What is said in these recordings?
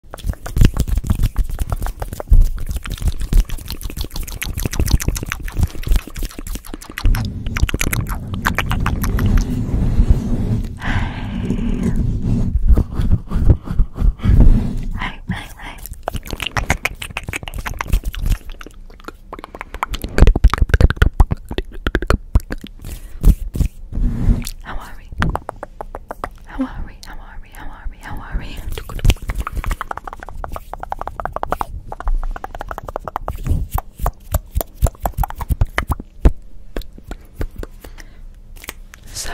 Hi, hi, hi. How are we? How are we? How are we? How are we? How are we? So,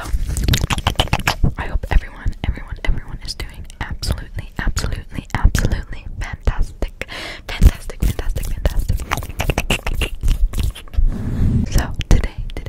I hope everyone, everyone, everyone is doing absolutely, absolutely, absolutely fantastic. Fantastic, fantastic, fantastic. So, today, today,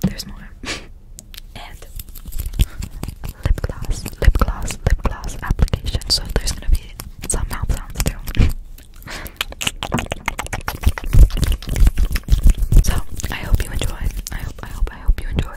there's more. and lip gloss, lip gloss, lip gloss application. So there's gonna be some mouth sounds too. so I hope you enjoy. I hope, I hope, I hope you enjoy.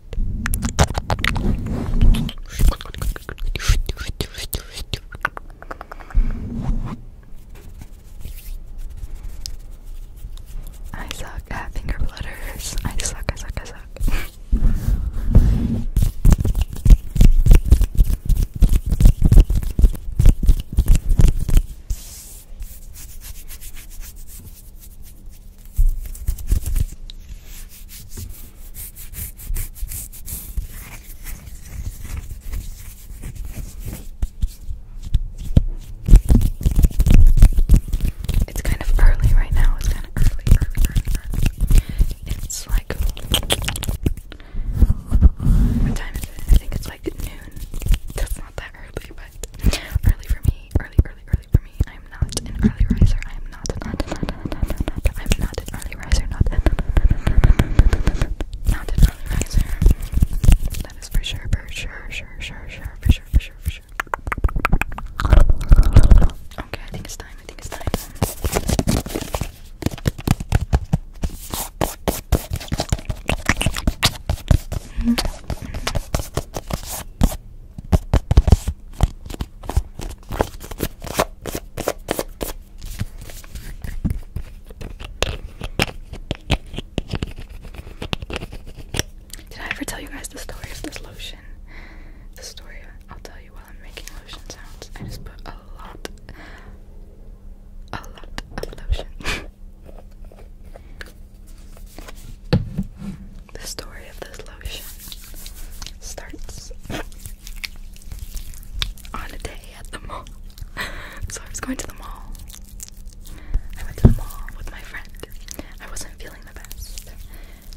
I suck at finger flutters. I suck, I suck, I suck. It's kind of early right now. It's kind of early, It's like what time is it? I think it's like noon. That's not that early, but early for me. Early, early, early early for me. I'm not an early riser. I am not, not, not, not, not, not, not. I'm not an early riser. Not, not, not an early riser. That is for sure, for sure, sure, sure, sure, for sure, for sure, for sure. Okay, I think it's time. I think it's time. Mm -hmm. Mm -hmm. Did I ever tell you guys the story of this lotion? The story I'll tell you while I'm making lotion sounds. I just put a lot, a lot of lotion. the story of this lotion starts on a day at the mall. so I was going to the mall. I went to the mall with my friend. I wasn't feeling the best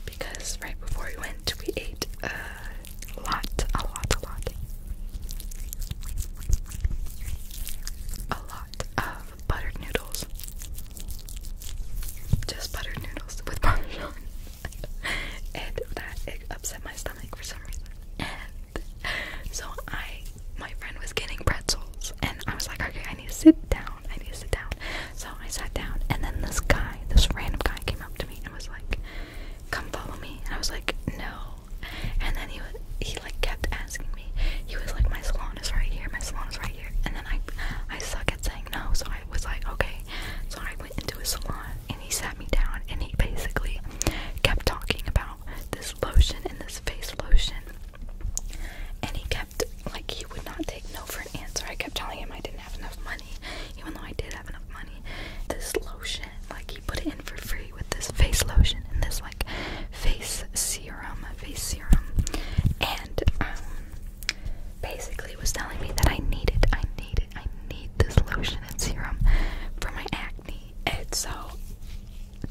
because right before we went, we ate a lot, a lot, a lot, a lot of buttered noodles. Just buttered noodles with parmesan. and that upset my stomach for some reason. And so I, my friend was getting pretzels, and I was like, okay, I need to sit down. I need to sit down. So I sat down, and then this guy, this random guy, came up to me and was like, "Come follow me." And I was like, "No." And then he was, he like kept asking me. He was like, "My salon is right here. My salon is right here." And then I, I suck at saying no, so I was like, "Okay." sorry into a salon and he sat me down and he basically kept talking about this lotion and this face lotion. And he kept, like, he would not take no for an answer. I kept telling him I didn't have enough money, even though I did have enough money. This lotion, like, he put it in for free with this face lotion and this, like, face serum, face serum. And, um, basically was telling me that I need it, I need it, I need this lotion and serum for my acne. And so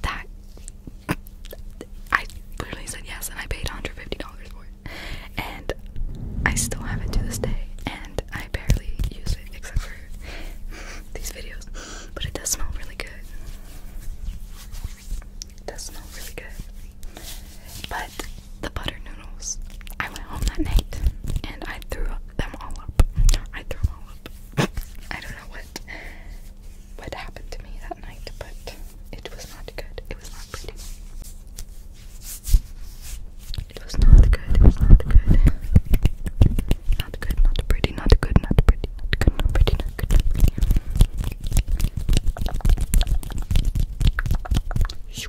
that I literally said yes, and I paid 150 for it. And I still have it to this day, and I barely use it except for these videos. But it does smell really good. It does smell really good. But but the butter noodles, I went home that night and I threw them all up. I threw them all up. I don't know what what happened to me that night, but it was not good. It was not pretty. It was not good. It was not good. Not good. Not pretty. Not good. Not pretty. Not good. Not pretty. Not good. Not pretty.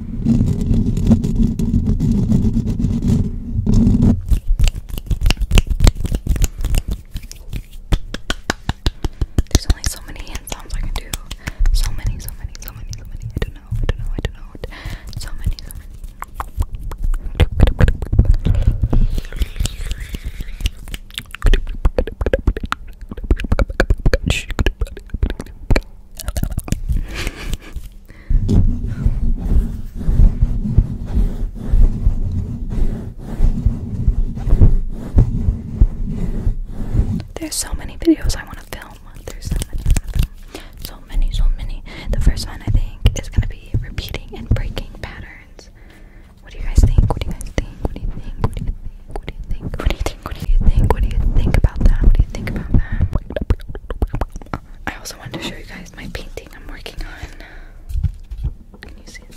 There's only so many hand sounds I can do. So many, so many, so many, so many. I don't know, I don't know, I don't know. So many, so many. There's so many videos I want to film. There's so many So many, so many. The first one I think is gonna be repeating and breaking patterns. What do you guys think? What do you guys think? What do you think? What do you think? What do you think? What do you think? What do you think? What do you think about that? What do you think about that? I also wanted to show you guys my painting I'm working on. Can you see it?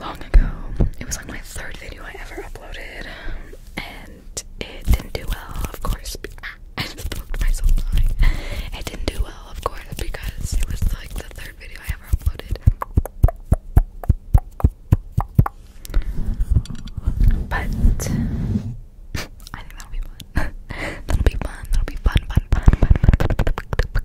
long ago. It was like my third video I ever uploaded, and it didn't do well, of course. I just poked myself lying. It didn't do well, of course, because it was like the third video I ever uploaded. But I think that'll be fun. that'll be fun. That'll be fun, fun, fun, fun, fun, fun, fun,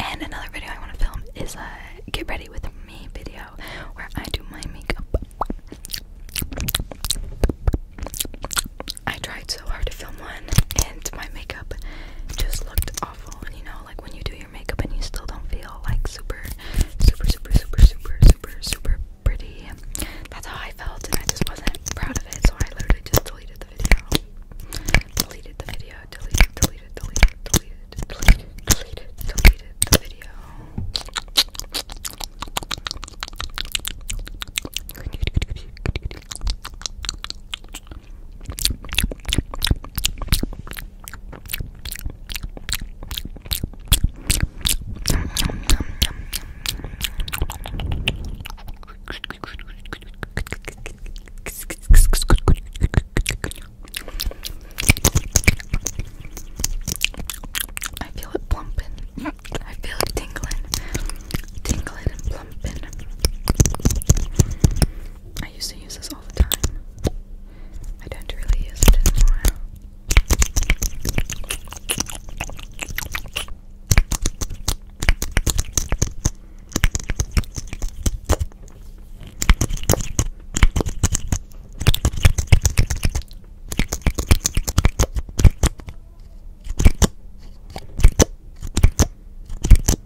and another video I want to film is a get ready with me video where I do my makeup. I tried so hard to film one and my makeup just looked awful. And you know, like when you do your makeup and you still don't feel like super, super, super, super, super, super, super pretty. That's how I felt, and I just wasn't proud of it. So I literally just deleted the video. Deleted the video. Deleted, deleted, deleted, deleted, deleted, deleted, deleted the video. I feel it plumping. I feel it tingling. Tingling and plumping. I used to use this all the time. I don't really use it anymore.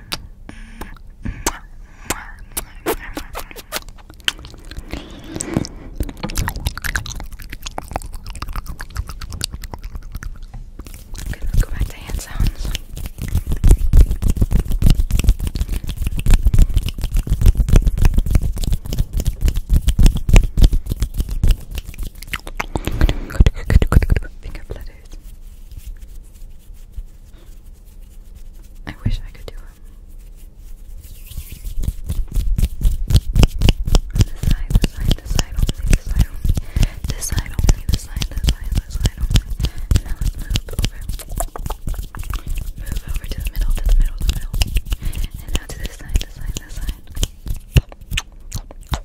Okay, let's go back to hand sounds. Finger flutters. I wish I could do it. this side, this side, this side only, this side only, this side only, this side, this side, this side only. now move over. Move over to the middle, to the middle, the middle. And now to this side, this side, this side.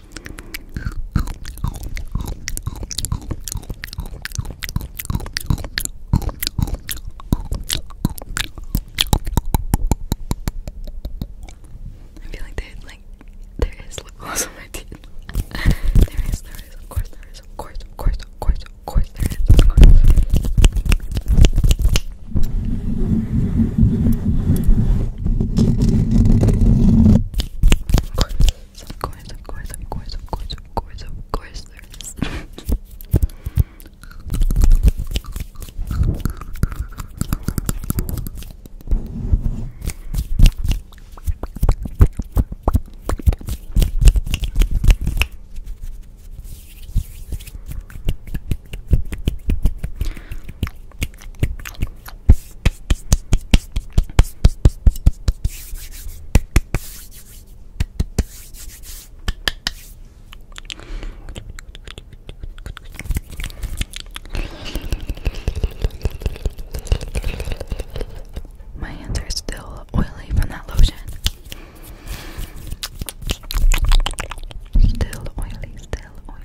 I feel like there, like, there is lip gloss on my teeth. there is, there is, of course, there is, of course, of course, of course, of course, there is, of course. There is. Of course, of course, of course, of course, of course, of course, there is. My hands are still oily from that lotion. Still oily, still oily.